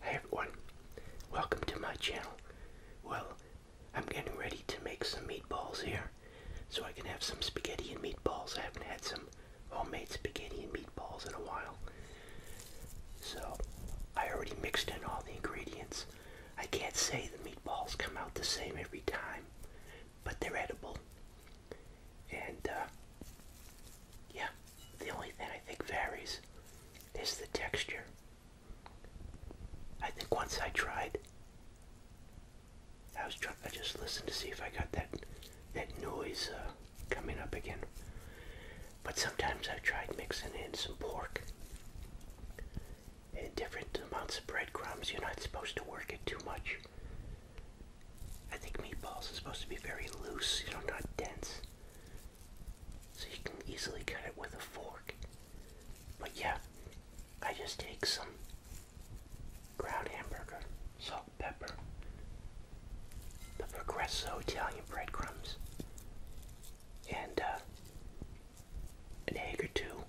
Hey everyone, welcome to my channel. Well, I'm getting ready to make some meatballs here so I can have some spaghetti and meatballs. I haven't had some homemade spaghetti and meatballs in a while. So I already mixed in all the ingredients. I can't say the meatballs come out the same every time, but they're edible. And uh, yeah, the only thing I think varies is the texture. I think once I tried, I was trying. I just listened to see if I got that that noise uh, coming up again. But sometimes I have tried mixing in some pork and different amounts of breadcrumbs. You're not supposed to work it too much. I think meatballs are supposed to be very loose, you know, not dense. So you can easily cut it with a fork. But yeah, I just take some ground hamburger, salt, pepper, the Progresso Italian breadcrumbs, and uh, an egg or two,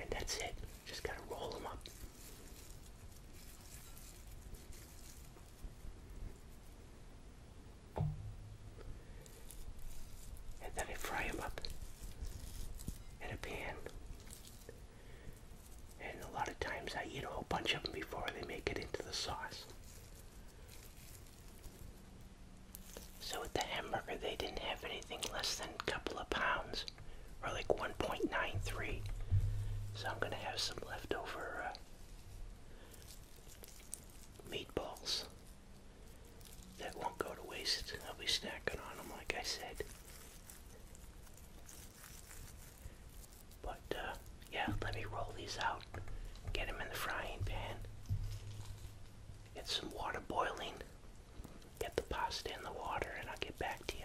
and that's it. Just gotta roll them up. And then I fry them up in a pan. And a lot of times I eat a whole bunch of them before they make it into the sauce. So with the hamburger, they didn't have anything less than a couple of pounds, or like 1.93. So I'm gonna have some leftover uh, meatballs that won't go to waste. I'll be snacking on them like I said. But uh, yeah, let me roll these out, get them in the frying pan, get some water boiling, get the pasta in the water, and I'll get back to you.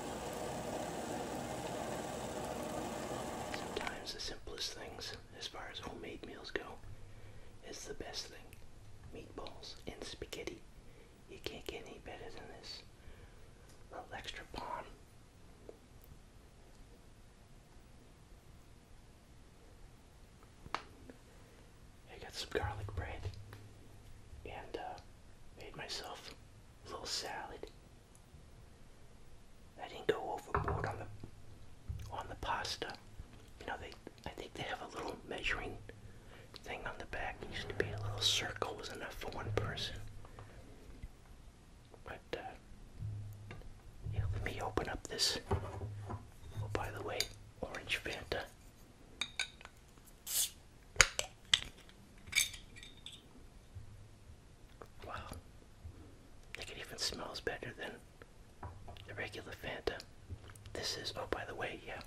Sometimes the simplest things, as far as homemade meals go, is the best thing. Meatballs and spaghetti. You can't get any better than this. A little extra palm. I got some garlic bread and uh, Made myself a little salad. I didn't go overboard on the on the pasta. You know, they I think they have a little measuring thing on the back. used to be a little circle was enough for one person. But uh, yeah, let me open up this. Oh, by the way, orange Fanta. Wow. I think it even smells better than the regular Fanta. This is, oh, by the way, yeah.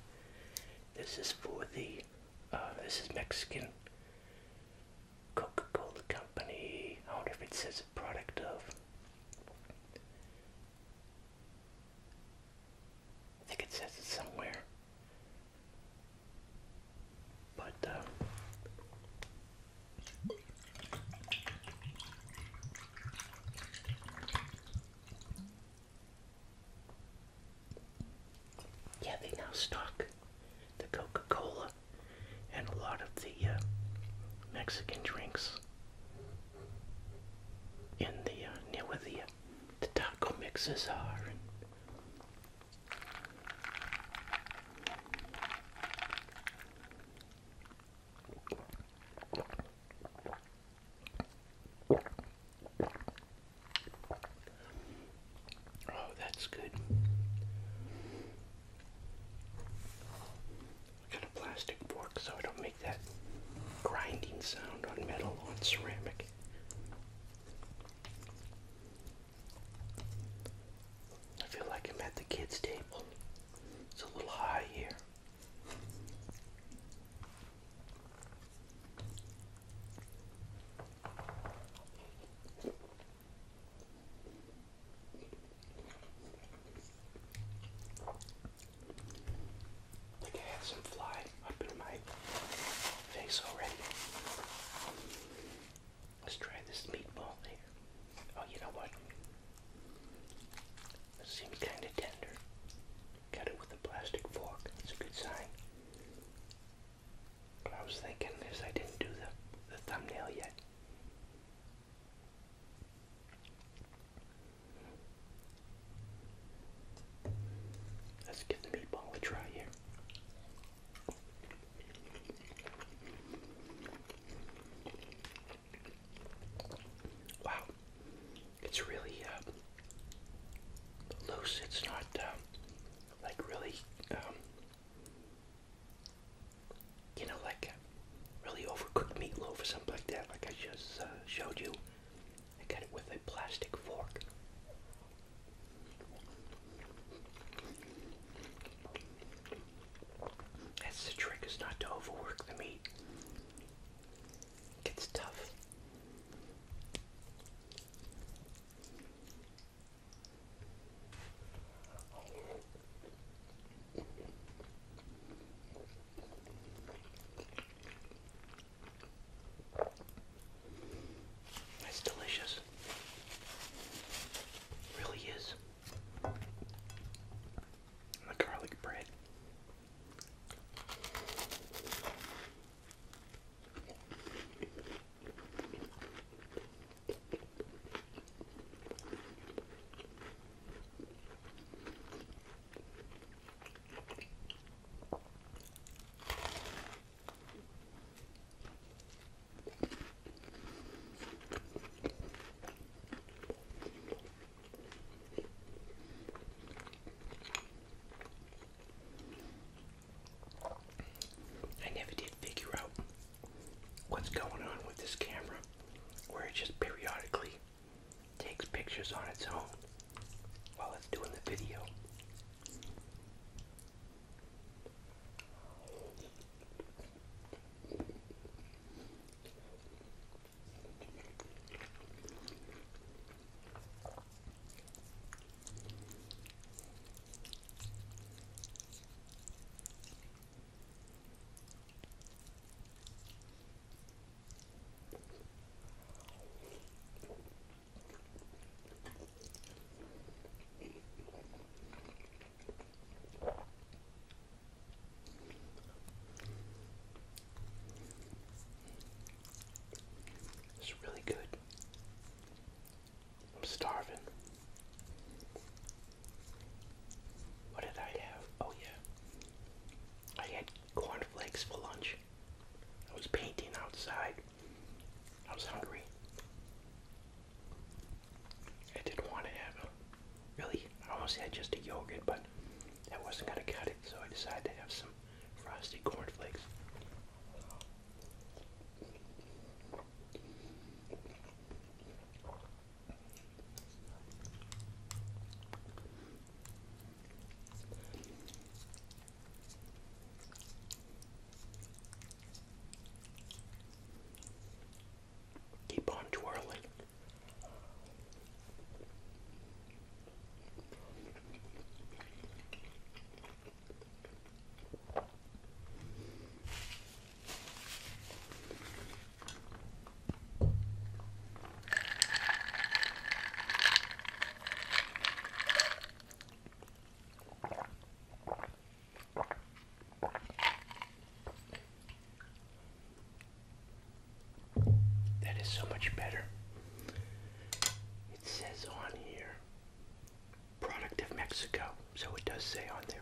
This is for the, uh, this is Mexican Coca-Cola Company. I wonder if it says a product of. I think it says it somewhere. But uh, yeah, they now stock the Coca Cola and a lot of the uh, Mexican drinks in the uh, near where the uh, the taco mixes are. Oh, that's good. got a plastic fork so I don't make that grinding sound on metal on ceramic. I feel like I'm at the kids' table. It's a little high here. I I have some fly up in my face already. Let's try this meatball here. Oh, you know what? It seems kind of tender. Cut it with a plastic fork. That's a good sign. What I was thinking is I didn't do the, the thumbnail yet. Let's give the meatball a try here. Wow, it's really uh, loose. It's not uh, like really, um, you know, like uh, really overcooked meatloaf or something like that, like I just showed you. I get it with a plastic fork. That's the trick is not to overwork the meat. It gets tough. It's delicious. really is. the garlic bread. I never did figure out what's going on with this camera where it just periodically takes pictures on its own while it's doing the video. It's really good. I'm starving. What did I have? Oh, yeah. I had cornflakes for lunch. I was painting outside. I was hungry. I didn't want to have really, I almost had just a yogurt, but I wasn't going to cut it, so I decided to have some frosted cornflakes. Keep on twirling. That is so much better. It says on here, product of Mexico, so it does say on there.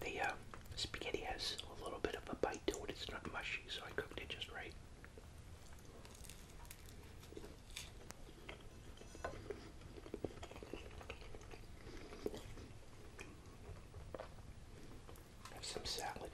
The uh, spaghetti has a little bit of a bite to it. It's not mushy, so I cooked it just right. Have some salad.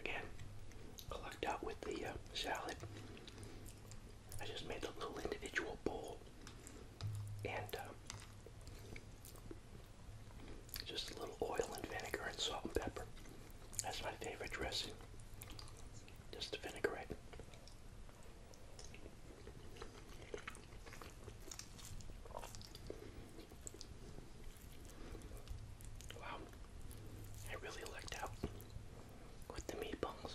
Again, lucked out with the uh, salad. I just made a little individual bowl and um, just a little oil and vinegar and salt and pepper. That's my favorite dressing. Just a vinaigrette. Wow, I really lucked out with the meatballs.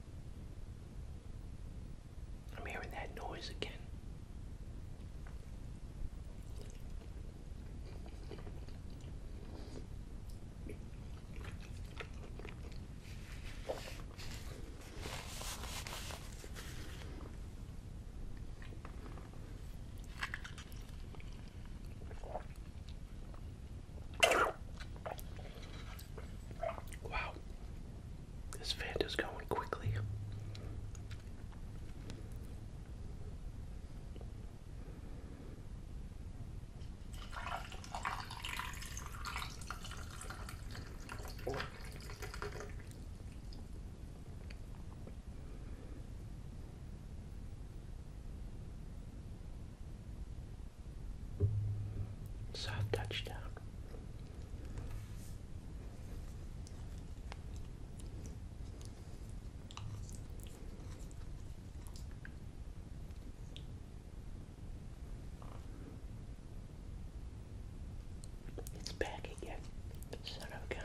I'm hearing that noise again. Wow, this fan is going quickly. Soft touchdown. It's back again, son of a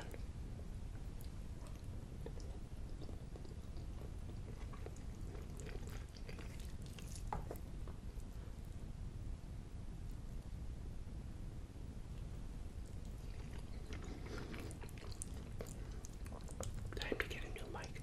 Time to get a new mic.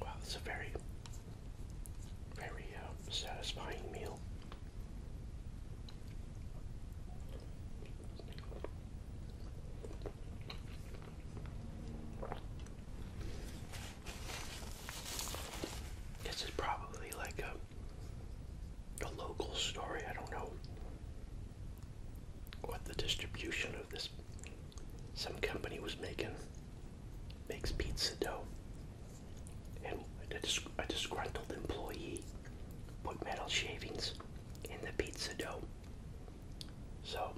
Wow, it's a very, very uh, satisfying meal. This is probably like a, a local story. I don't know what the distribution of this some company was making makes pizza dough and a disgruntled employee put metal shavings in the pizza dough. So,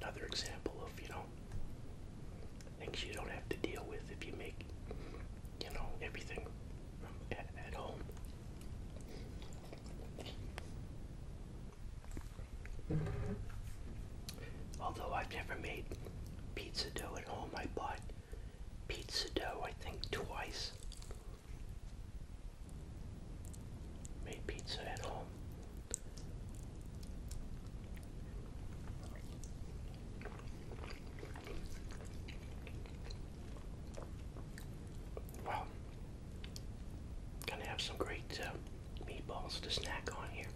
another example of, you know, things you don't have to deal with if you make, you know, everything at, home. Although I've never made pizza dough at home, I bought pizza dough, I think, twice. Made pizza at home. Wow. Gonna have some great uh, meatballs to snack on here.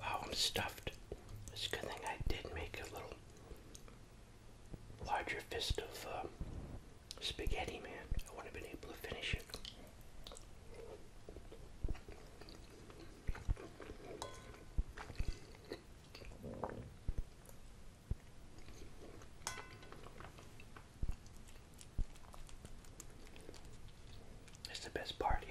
Wow, I'm stuffed. It's a good thing I did make a little larger fist of um, spaghetti, man. I wouldn't have been able to finish it. It's the best part here.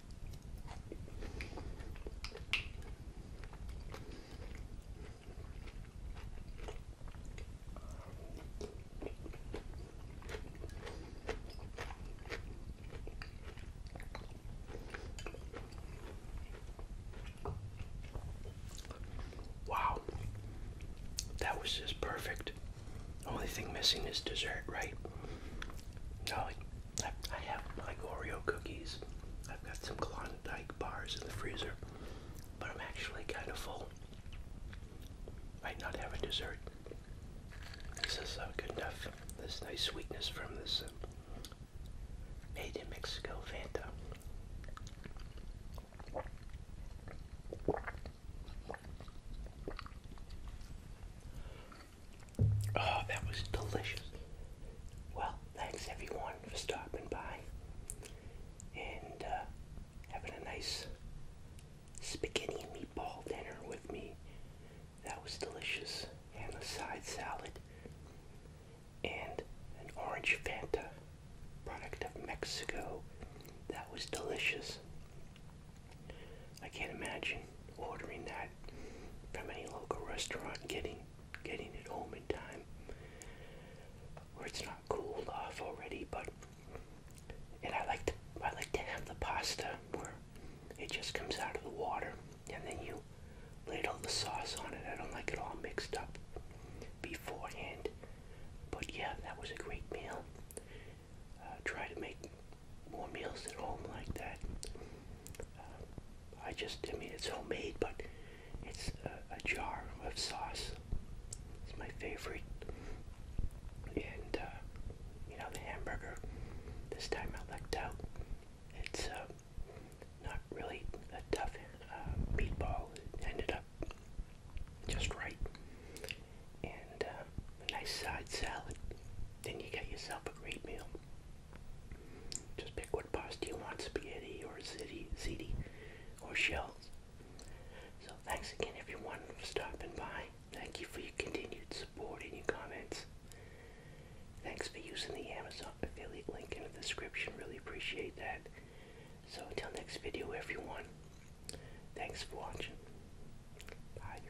Wow, that was just perfect. Only thing missing is dessert, right? No, I, have like Oreo cookies. I've got some Klondike bars in the freezer, but I'm actually kind of full. Might not have a dessert. This is uh, good enough. This nice sweetness from this uh, made in Mexico Fanta. Oh, that was delicious. Well, thanks everyone for stopping by and uh, having a nice spaghetti and meatball dinner with me. That was delicious. And a side salad and an orange Fanta product of Mexico. That was delicious. I can't imagine ordering that from any local restaurant, getting getting it home in time, where it's not cooled off already. But and I like to I like to have the pasta where it just comes out of the water, and then you ladle the sauce on it. I don't like it all mixed up beforehand. But yeah, that was a great meal. Uh, try to make more meals at home like that. Uh, I just, I mean, it's homemade, but it's a, uh, a jar of sauce. It's my favorite. And, uh, you know, the hamburger, this time I lucked out. It's uh, not really a tough uh, meatball. It ended up just right. And uh, a nice side salad. Then you get yourself a great meal. Just pick what pasta you want, spaghetti or ziti, ziti or shells. So thanks again everyone for stopping by. Thank you for your continued support and your comments. Thanks for using the Amazon affiliate link in the description. Really appreciate that. So until next video everyone, thanks for watching. Bye.